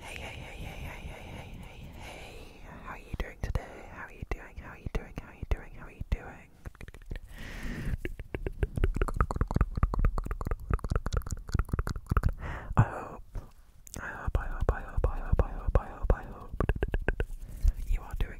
Hey, hey, hey, hey, hey, hey, hey, hey, how are you doing today? How are you doing? How are you doing? How are you doing? How are you doing? I hope, I hope, I hope, I hope, I hope, I hope, I hope, I hope you are doing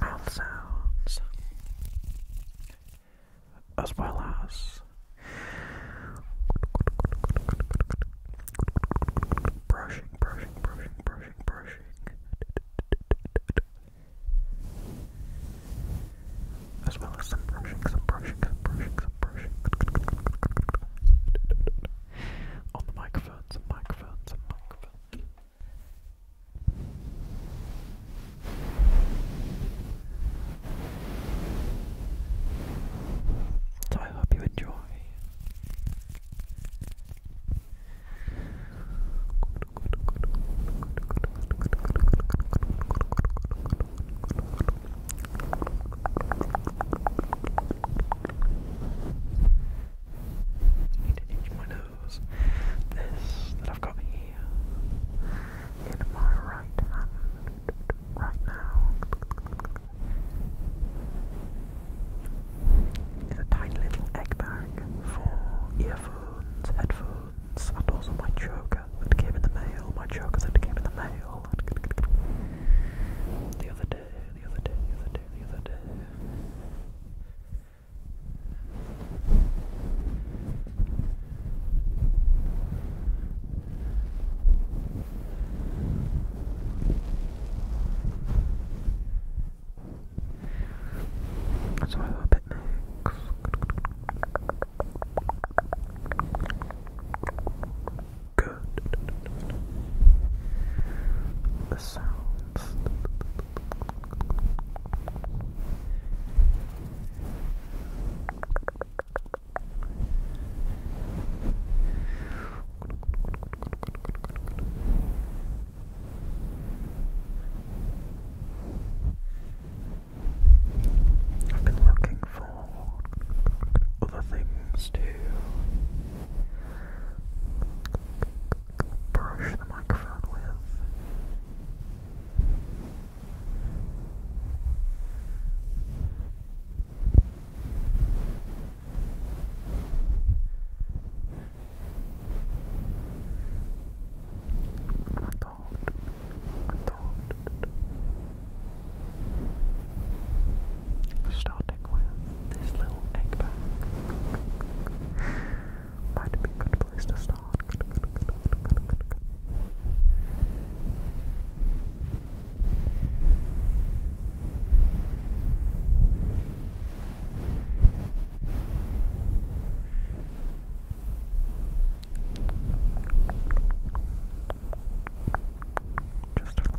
mouth sounds, as well as brushing, brushing, brushing, brushing, brushing. As well as some brushing, some brushing, some brushing, some brushing. On the microphone, some microphone, some microphone. So I hope you enjoy. I need to itch my nose. This that I've got here in my right hand right now is a tiny little egg bag for earphones, headphones, and also my choker that came in the mail. My choker that came in the mail the other day, the other day, the other day, the other day. So I hope it makes good. The sounds. I've been looking for other things to brush the microphone with. Starting with this little egg bag. Might be a good place to start. Just a look.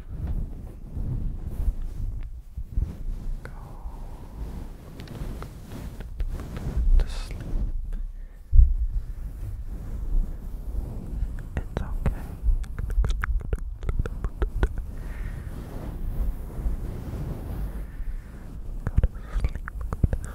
Go to sleep. It's okay. Go to sleep, go to sleep, go to sleep,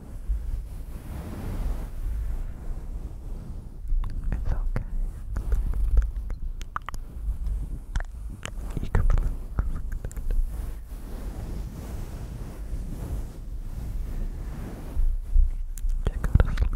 It's okay. You can relax. Yeah, go to to sleep.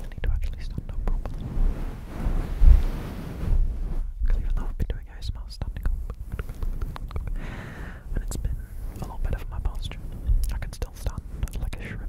I need to actually stand up properly. Because even though I've been doing ASMR standing up, and it's been a lot better for my posture, I can still stand like a shrimp.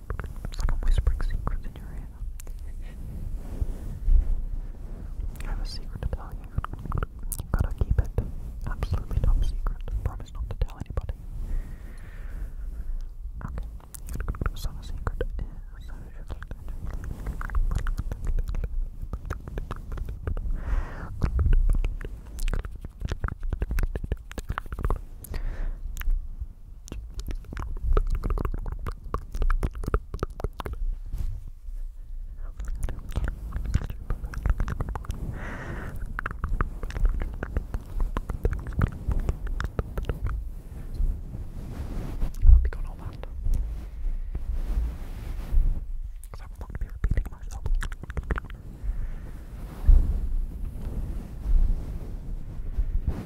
Someone whispering secrets in your ear. You have a secret to tell you. You gotta keep it absolutely top secret. Promise not to tell anybody. Okay. So the secret I hope you got all that. Because I will not be repeating myself.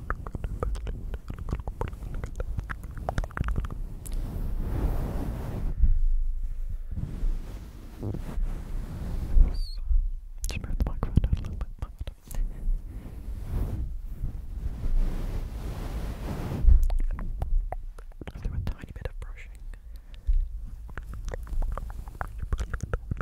Just move the microphone down a little bit. I'll do a tiny bit of brushing.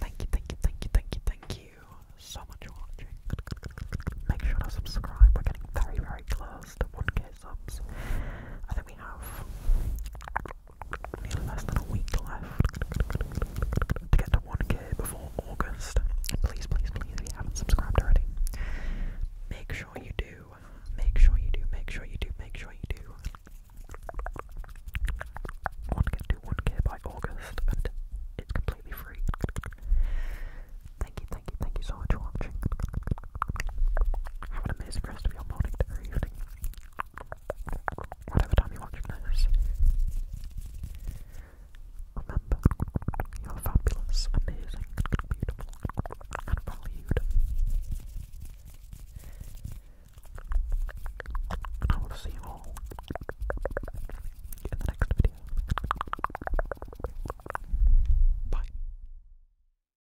Thank you, thank you, thank you, thank you, thank you so much for watching. Make sure to subscribe. We're getting very, very close to 1k subs. I think we have less than a week left to get to 1k before August. Please, please, please, if you haven't subscribed already, make sure you do. Make sure you do, make sure you do, make sure you do. I want to 1k by August, and it's completely free. Thank you, thank you, thank you so much for watching. Have an amazing rest of your morning or evening. Whatever time you're this, remember you're fabulous, amazing, beautiful, and valued. I will see you all in the next video. Bye.